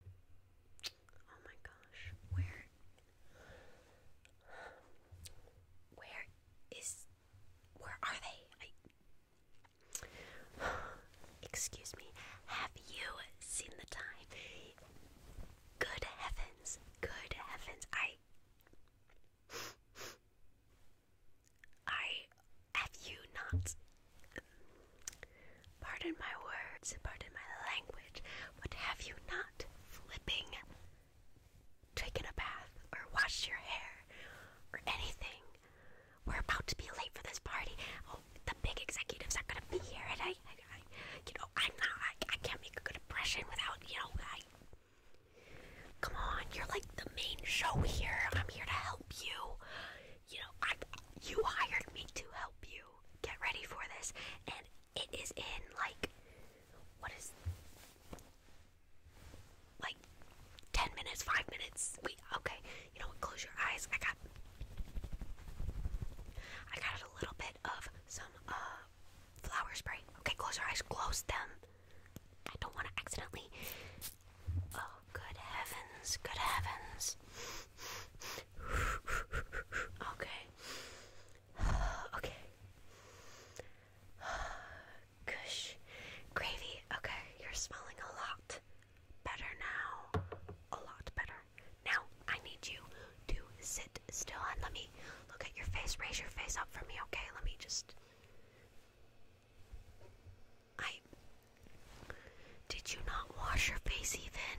Oh my gosh, where? Where is. Where are they? Excuse me, have you seen the time? Good heavens, good heavens, I. I. Have you not Pardon my words, pardon my language, but have you not flipping taken a bath or washed your hair or anything? We're about to be late for this party. Oh, the big executives are gonna be here, and I, you know, I'm not, I, I can't make a good impression without, you know, I. Come on, you're like the main show here. I'm here to help you you know, I you hired me to help you get ready for this, and it is in like what is like ten minutes, five minutes. Wait, okay, you know what? Close your eyes. I got I got a little bit of some uh flower spray. Okay, close your eyes. Close them. I don't want to accidentally Oh, good heavens, good heavens. Okay. Okay. Gush. Gravy. Okay, you're smelling a lot better now. A lot better. Now, I need you to sit still and let me look at your face. Raise your face up for me, okay? Let me just. I. Did you not wash your face even?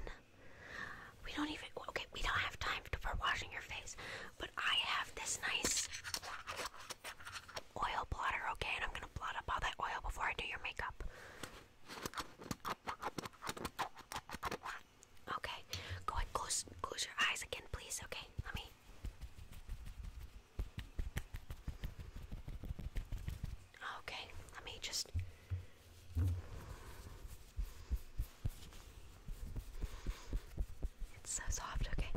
We don't even. Okay, we don't have time for washing your face. But I have this nice oil blotter, okay? And I'm gonna blot up all that oil before I do your makeup. Okay, go ahead, close, close your eyes again, please, okay? Let me. Oh, okay, let me just. It's so soft, okay?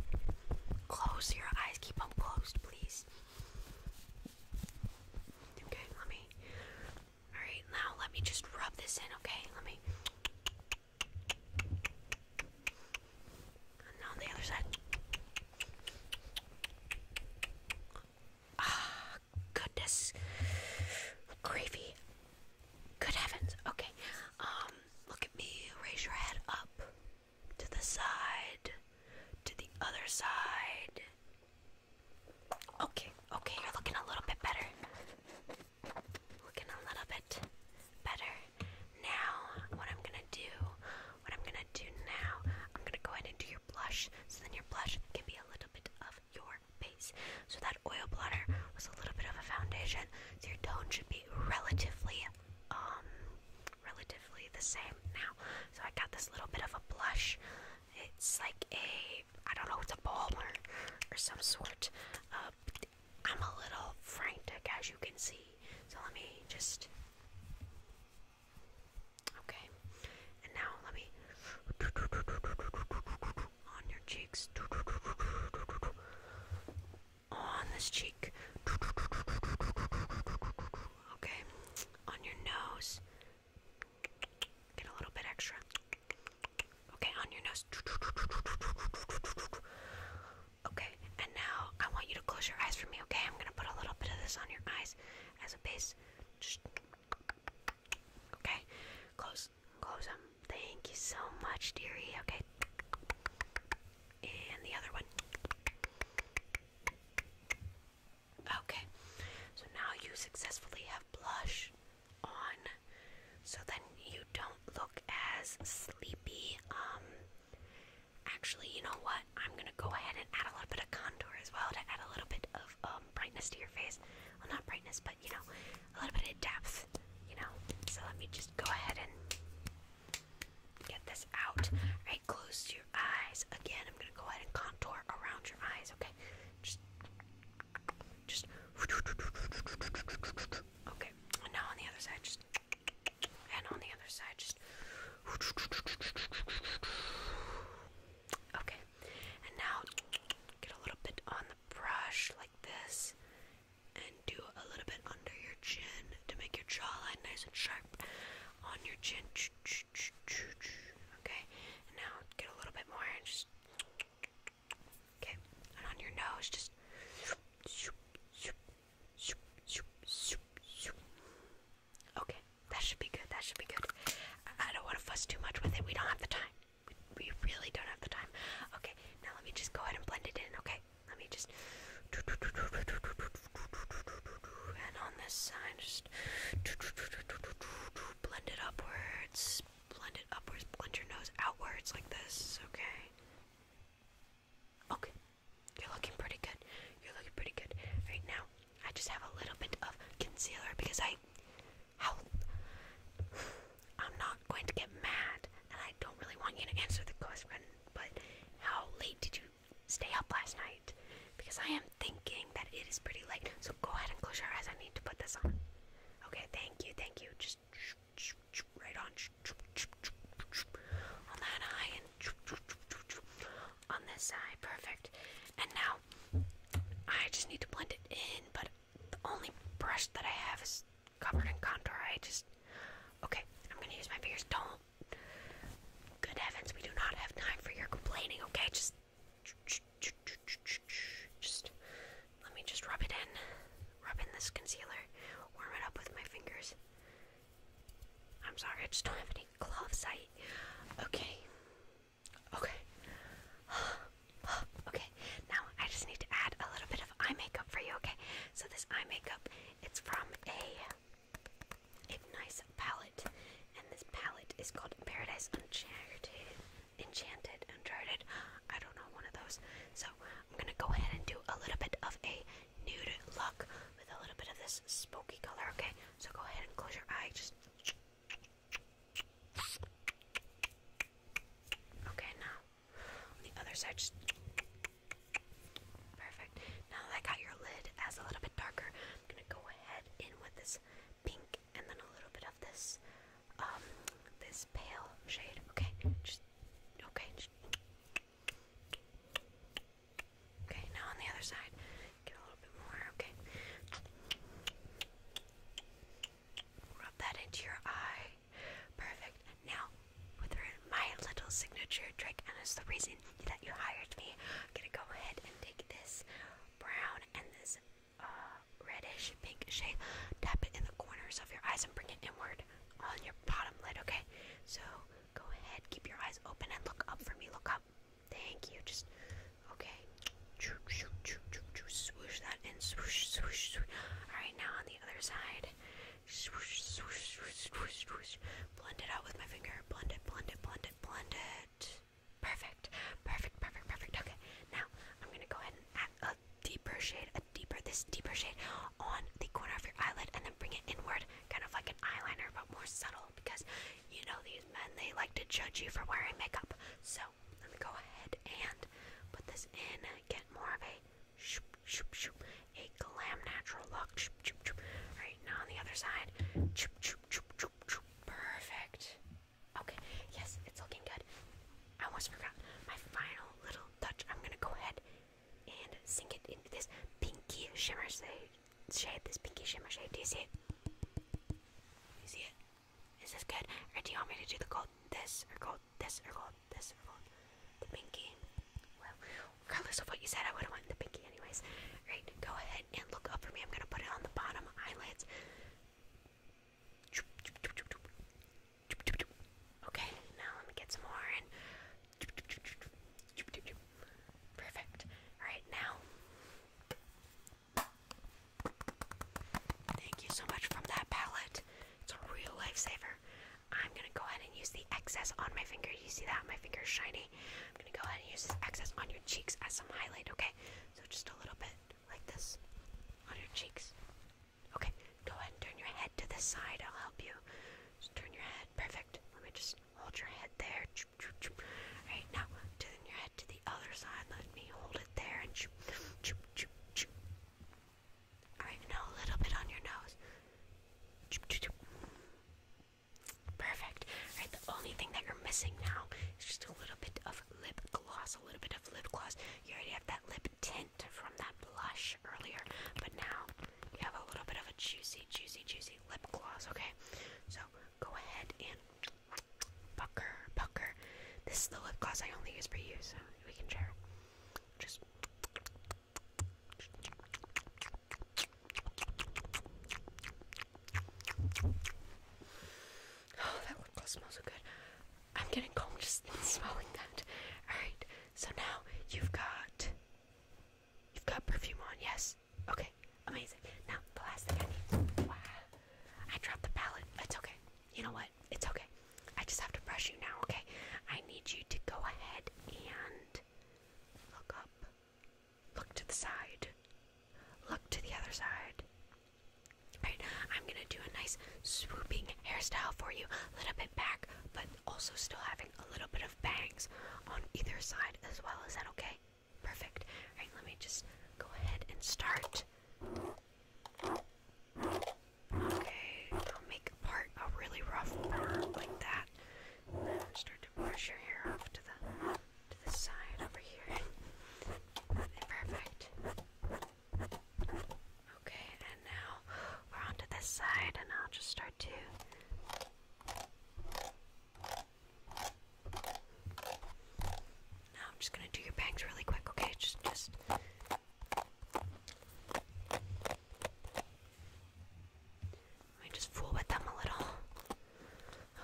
Close your eyes, keep them closed, please. Okay, let me. Alright, now let me just rub this in, okay? Let me. And on the other side. Ah, goodness. Gravy. Good heavens. Okay. Um, look at me. Raise your head up. To the side. To the other side. Okay, okay, you're looking a little bit better. Looking a little bit better. Now, what I'm gonna do, what I'm gonna do now, I'm gonna go ahead and do your blush, so then your blush can be a little bit of your base. So that oil blotter was a little bit of a foundation, so your tone should be relatively, um, relatively the same now. So I got this little bit of a blush. It's like a, I don't know, it's a balmer or some sort. Uh, I'm a little frantic, as you can see. So let me just. Okay. And now let me. On your cheeks. On this cheek. Okay. On your nose. Get a little bit extra. Okay, on your nose. Okay, and now I want you to close your eyes for me, okay? I'm gonna put a little bit of this on your eyes as a base. okay, close, close them. Thank you so much, dearie. Okay, and the other one. Okay, so now you successfully have blush on, so then you don't look as sleepy. Um, Actually, you know what? I'm gonna go ahead and add a little bit of contour as well to add a little bit of um, brightness to your face. Well, not brightness, but you know, a little bit of depth. You know. So let me just go ahead and get this out. All right, close your eyes again. I'm gonna go ahead and contour around your eyes. Okay. Just, just. Okay. And now on the other side, just. And on the other side, just. Okay. And now get a little bit on the brush like this. And do a little bit under your chin to make your jawline nice and sharp on your chin. Okay. And now get a little bit more and just. Okay. And on your nose, just. Okay, that should be good. That should be good. I, I don't want to fuss too much with it. We don't have the time. We, we really don't have the time. Okay, now let me just go ahead and blend it in. Okay, let me just. And on this side, just blend it upwards. Blend it upwards. Blend your nose outwards like this. Okay. Okay, you're looking pretty good. You're looking pretty good right now. I just have a little bit of concealer because I, how, I'm not going to get mad, and I don't really want you to answer the question. But how late did you stay up last night? Because I am thinking that it is pretty late. So go ahead and close your eyes. I need to put this on. Okay, thank you, thank you. Just right on, on that eye, and on this eye, perfect. And now I just need to blend it in, but the only brush that I have is covered in contour. I just okay. I'm gonna use my fingers. Don't. Good heavens, we do not have time for your complaining. Okay, just. Just let me just rub it in. Rub in this concealer. Warm it up with my fingers. I'm sorry, I just don't have any gloves. I. Okay. Okay. okay. Now I just need to add a little bit of eye makeup for you. Okay. So this eye makeup, it's from a a nice palette, and this palette is called Paradise Uncharted. Enchanted, Uncharted, I don't know, one of those. So I'm gonna go ahead and do a little bit of a nude look with a little bit of this smoky color, okay? So go ahead and close your eyes. just. Okay, now on the other side, just. Perfect. Now that I got your lid as a little bit darker, I'm gonna go ahead in with this pink and then a little bit of this um this pale shade. Okay, okay. Okay, now on the other side, get a little bit more. Okay, rub that into your eye. Perfect. Now, with my little signature trick, and it's the reason that you hired me, I'm gonna go ahead and take this brown and this uh, reddish pink shade. Tap it in the corners of your eyes and bring it inward on your bottom lid, okay? So go ahead, keep your eyes open and look up for me. Look up. Thank you. Just okay. Swoosh that in. Swoosh, swoosh, swoosh. Alright, now on the other side. Swoosh, swoosh, swoosh, swoosh, swoosh. Blend it out with my finger. Blend it, blend it, blend it, blend it. Perfect. Perfect, perfect, perfect. Okay, now I'm gonna go ahead and add a deeper shade, a deeper, this deeper shade on the corner of your eyelid and then bring it inward, kind of like an eyeliner, but more subtle because you know these men, they like to judge you for wearing makeup. So let me go ahead and put this in, get more of a shoop, shoop, shoop, a glam natural look. Shoop, All right now on the other side. shoop shoop shoop shoop shoop, Perfect. Okay, yes, it's looking good. I almost forgot my final little touch. I'm gonna go ahead and sink it into this pinky shimmer shade. This pinky shimmer shade. Do you see it? Do you see it? Is this good? Or do you want me to do the gold this or gold this or gold this or gold? The pinky. Well, regardless of what you said, I would have wanted the pinky anyways. All right, go ahead and look up for me. I'm gonna put it on the bottom eyelids. Okay, now let me get some more Perfect. Alright, now. Thank you so much from that palette. It's a real lifesaver. I'm gonna go ahead and use the excess on my finger. You see that? My finger is shiny. I'm gonna go ahead and use this excess on your cheeks as some highlight, okay? So just a little bit like this on your cheeks. Okay, go ahead and turn your head to this side. I'll help you. Just turn your head. Perfect. Let me just hold your head there. Alright, now turn your head to the other side. Let me hold it there. And Alright, now a little bit on your nose. Perfect. Alright, the only thing that you're missing now is just a little bit of lip gloss, a little bit of lip gloss. You already have that lip tint from that blush earlier, but now you have a little bit of a juicy, juicy, juicy lip gloss, okay? So go ahead and pucker, pucker. This is the lip gloss I only use for you, so we can share Just. Oh, that lip so good. I'm getting calm just smelling that. Alright, so now you've got you've got perfume on, yes? Okay, amazing. Now the last thing I need. Wow. I dropped the palette. It's okay. You know what? It's okay. I just have to brush you now, okay? I need you to go ahead and look up Look to the side. Look to the other side. Alright, I'm gonna do a nice swooping hairstyle for you. A little bit back, but also still having a little bit of bangs on either side as well. as that okay? Perfect. Alright, let me just go ahead and start. Okay, I'll make a part a really rough part like that. then start to brush your hair off to the to the side over here. Perfect. Okay, and now we're onto this side, and I'll just start to. Now I'm just gonna do your bangs really quick, okay? Just, just. Let me just fool with them a little.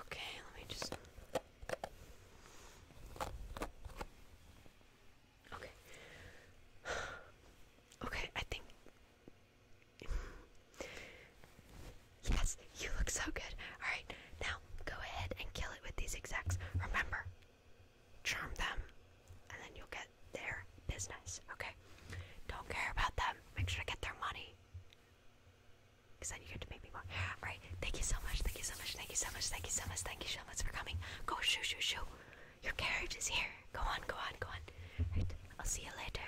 Okay, let me just. Okay. Okay, I think. Yes, you look so good. Alright, now go ahead and kill it with these execs. Remember, charm them, and then you'll get their business, okay? Don't care about them. Make sure to get their money. Because then you get to make me more. Alright, thank you so much, thank you so much, thank you so much, thank you so much, thank you so much for coming. Go shoo shoo shoo. Your carriage is here. Go on, go on, go on. Right, I'll see you later.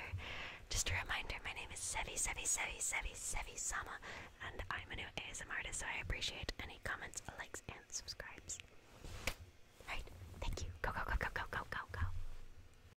Just a reminder, my name is Sevi Sevi Sevi Sevi Sevi Sama, and I'm a new ASM artist, so I appreciate any comments, likes, and subscribes. Alright, thank you. Go go go go go go go go.